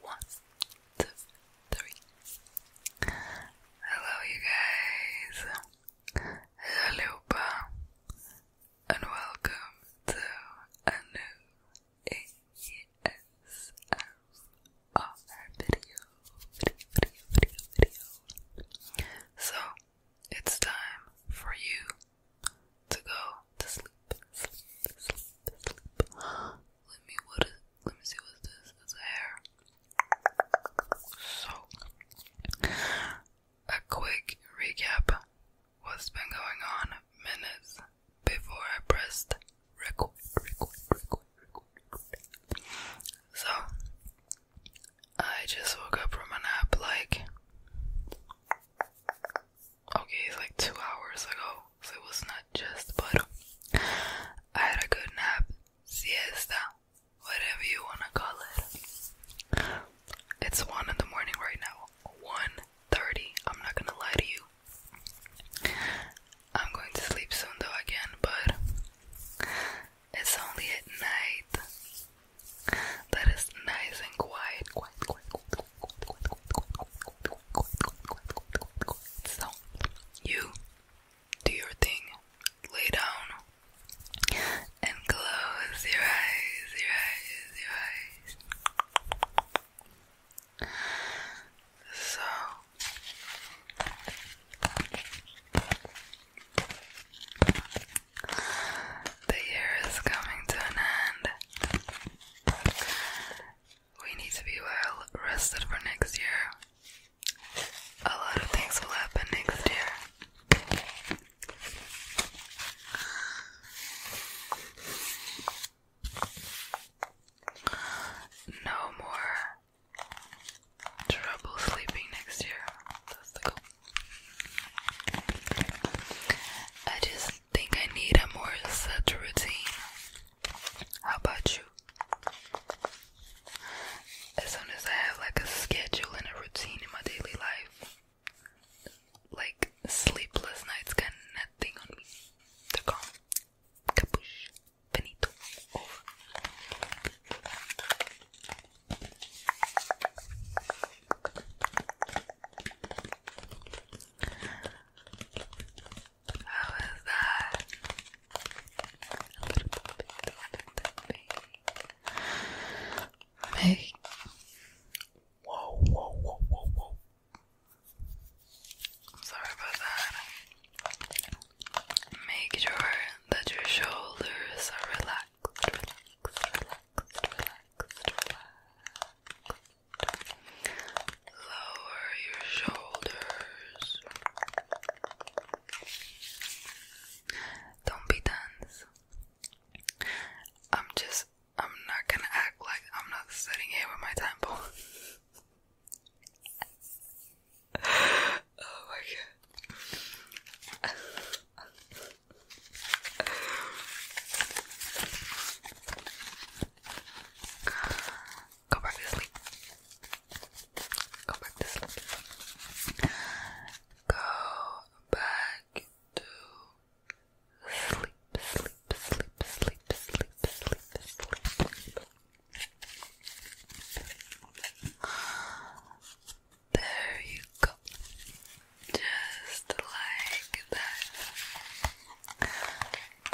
One, two, three. Hello, you guys. Hello, Lupa, and welcome to a new ASMR video. So, it's time for you to go to sleep. Let me see what this is a So a quick recap what's been going on minutes before I pressed record. So I just woke up from a nap like okay, it's like two hours ago, so it was not just, but I had a good nap, siesta, whatever you wanna call it. It's one in the morning right now, one thirty. I'm not gonna lie to you. I'm going to sleep soon though again, but it's only at night that is nice and quiet. So you do your thing. Lay down and close your eyes, your eyes. So the year is coming to an end. We need to be well rested for next year. A lot of things will happen next year. No more trouble sleeping next year. I just think I need a more set routine. How about you? As soon as I have like a schedule and a routine in my daily life, like sleepless nights got nothing on me. They're gone. How is that? A little bit of the Hey. Whoa, whoa, whoa, whoa, whoa. sorry about that. Make sure that your shoulders are relaxed. Lower your shoulders. Don't be tense. I'm just, I'm not gonna act like I'm not sitting here with my temple. oh my god. Go back to sleep. Go back to sleep. Go back to sleep, sleep, sleep, sleep, sleep, sleep, sleep. There you go. Just like that.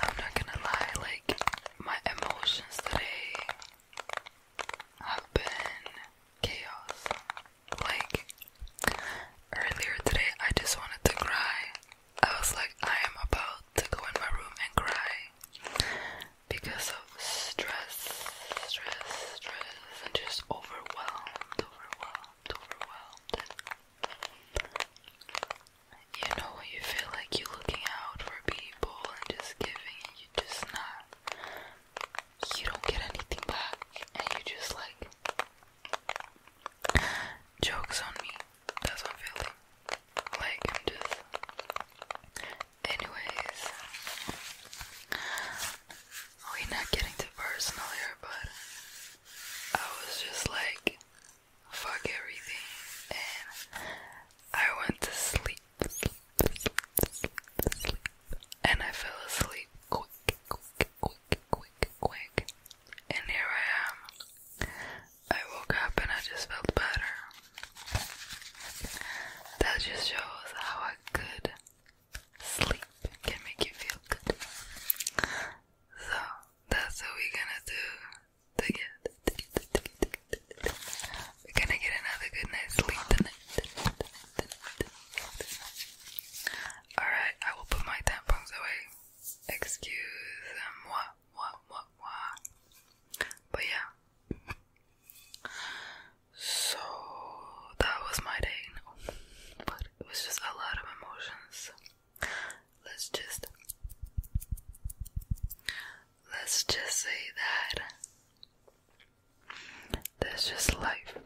I'm not gonna lie, like, my emotions today have been chaos. Like, earlier today, I just wanted to cry. I was like, I am about to go in my room and cry because of stress, stress, stress, and just overwhelmed, overwhelmed, overwhelmed. You know when you feel like you're looking out for people and just giving and you are just not you don't get anything back and you just like jokes on me. That's what I'm feeling. Like I'm just anyways we're not getting too personal here, but I was just like, fuck everything, and I went to sleep, sleep, sleep, sleep, sleep, and I fell asleep quick, quick, quick, quick, quick, and here I am. I woke up and I just felt better. That just shows how I could sleep can make you feel good. So that's what we're gonna do to We're gonna get another good night's sleep tonight. Alright, I will put my tampons away. Excuse moi, moi, moi, moi. But yeah. So that was my day but it was just a lot of emotions. Let's just let's just say that that's just life.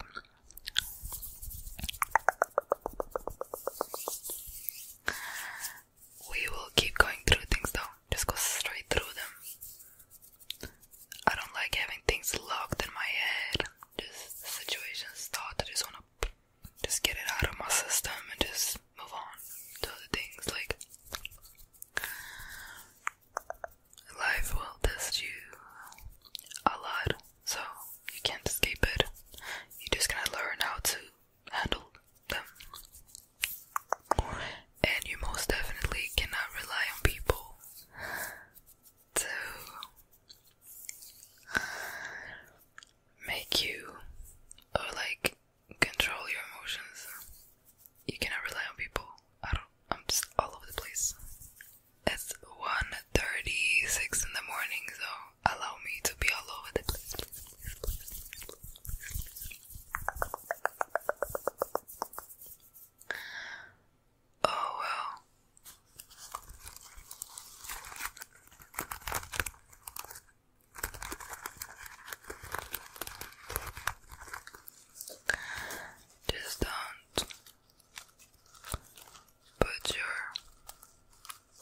We will keep going through things though, just go straight through them. I don't like having things locked in my head just the situation's thought I just wanna just get it out of my system and just move on to other things like life will test you a lot, so you can't escape it. You just gotta learn how to handle them. And you most definitely cannot rely on people to make you or like control your emotions. You cannot rely on people. I don't. I'm just all over the place. It's 1.36 in the morning, so allow me to be all over the place. Oh well. Just don't put your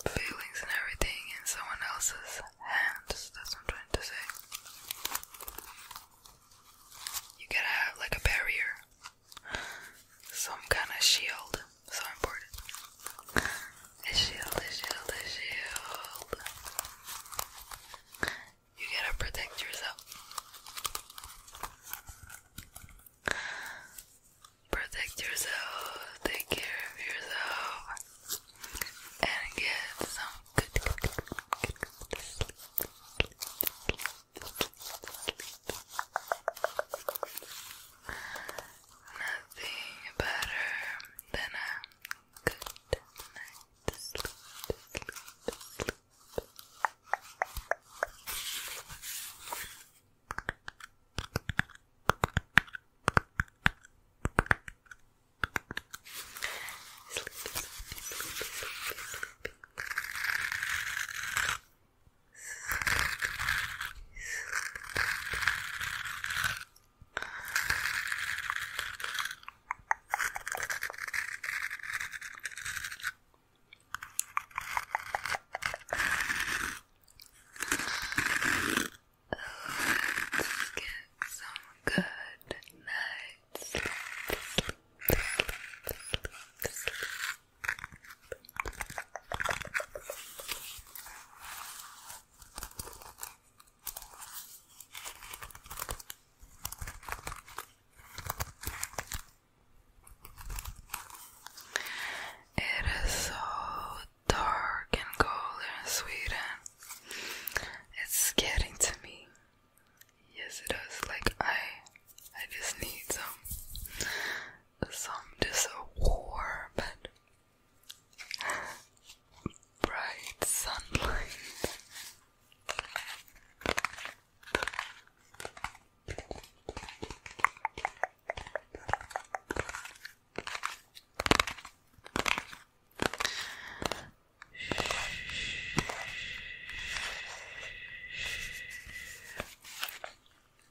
feelings and everything in someone else's hands. That's what I'm trying to say. You gotta have like a barrier some kind of shield. So important. A shield, a shield, a shield. You gotta protect yourself. Protect yourself, take care of yourself, and get some good, Nothing better than a good night's sleep. Let's get some good night sleep, sleep, sleep, sleep, sleep, sleep, sleep, it is so dark and cold in Sweden. It's getting to me. Yes, it is. Like I, I just need some some just a warm and bright sunlight.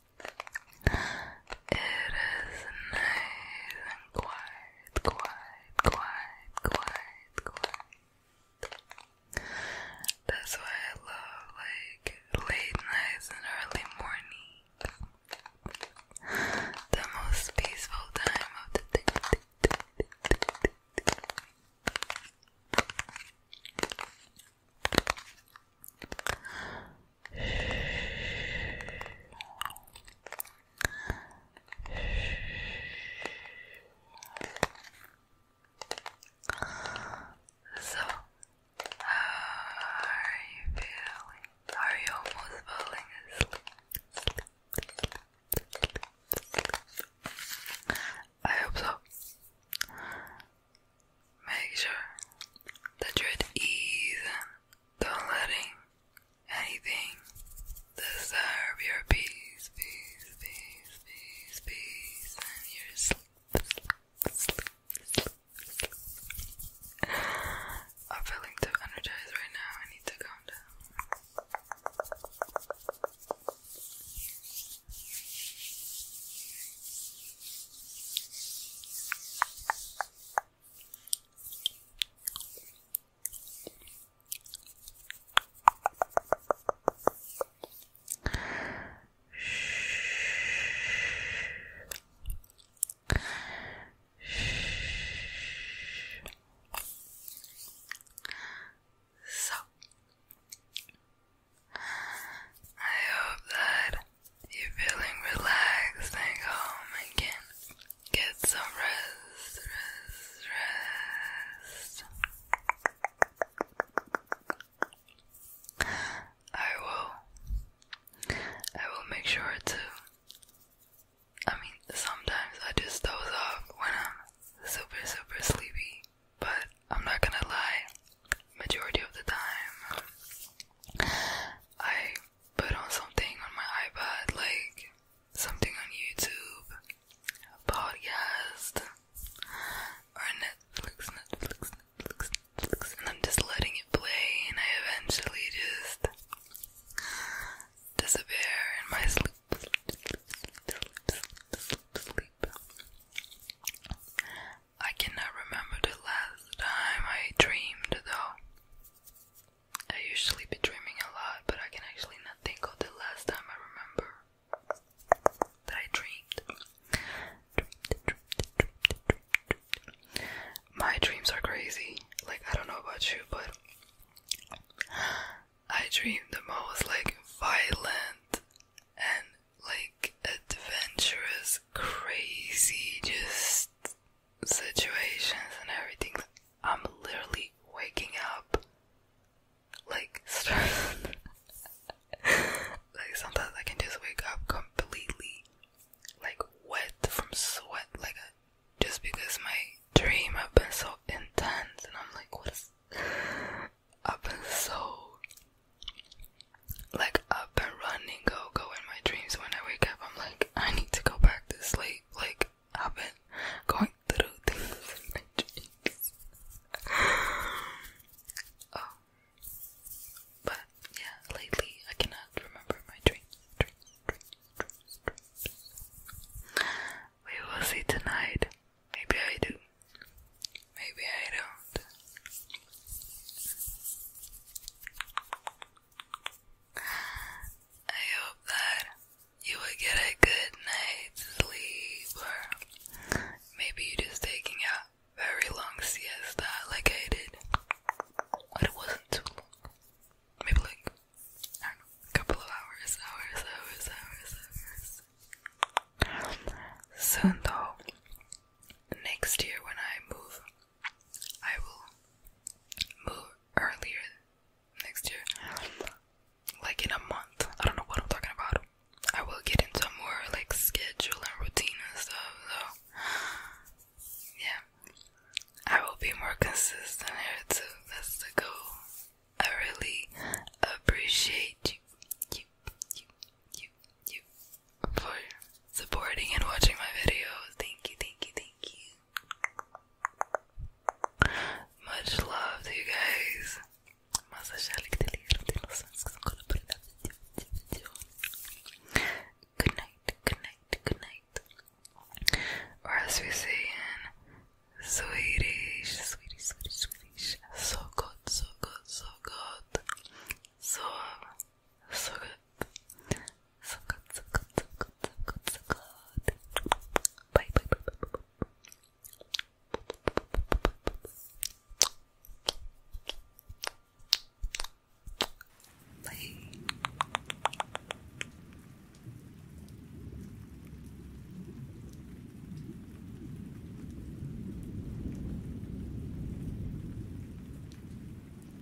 is nice and quiet, quiet, quiet, quiet, quiet. That's why I love like late nights and early mornings. The most peaceful time of the day. So, are you feeling? Are you almost falling asleep? I hope so. Make sure that you're at ease don't letting anything disturb your peace, peace, peace, peace, peace, and your sleep. I'm feeling too energized right now. I need to calm down. So, I hope that you're feeling relaxed and home and can get some rest, rest, rest. I will, I will make sure to, I mean, sometimes I just doze off when I'm super, super sleepy, but I'm not gonna lie, majority of the time I put on something on my iPad, like something on YouTube, a podcast, or Netflix, Netflix, Netflix, and I'm just letting it play, and I eventually just disappear in my sleep. I cannot remember the last time I dreamed though. I usually be dreaming a lot, but I can actually not think of the last time I remember that I dreamed. dreamed. My dreams are crazy. Like I don't know about you, but I dream the most like violent and like adventurous, crazy, just situations and everything. I'm literally waking up like like sometimes I can just wake up completely like wet from sweat, like uh, just because my dream have been so intense and I'm like, what is? I've been so like up and running go go in my dreams when I wake up I'm like I need to go back to sleep like I've been going through things in my dreams oh. but yeah lately I cannot remember my dreams dreams we will see tonight maybe I do maybe I don't I hope that you would get a good night's sleep, or maybe you're just taking a very long siesta like I did, but it wasn't too long. Maybe like I don't know, a couple of hours, hours, hours, hours, hours. Soon though, next year when I move I will move earlier next year, like in a month. I don't know what I'm talking about. I will get into more like schedule and routine and stuff. So yeah, I will be more consistent here too. That's the goal. I really appreciate you, you, you, you, you for supporting and watching my videos. Thank you, thank you, thank you. Much love to you guys. Good night, good night, good night. Or as we say in Swedish, Swedish, Swedish, Swedish. So good, so good, so good. So so good. So good, so good, so good, so good, so good. Bye, bye, bye, bye, bye. Bye.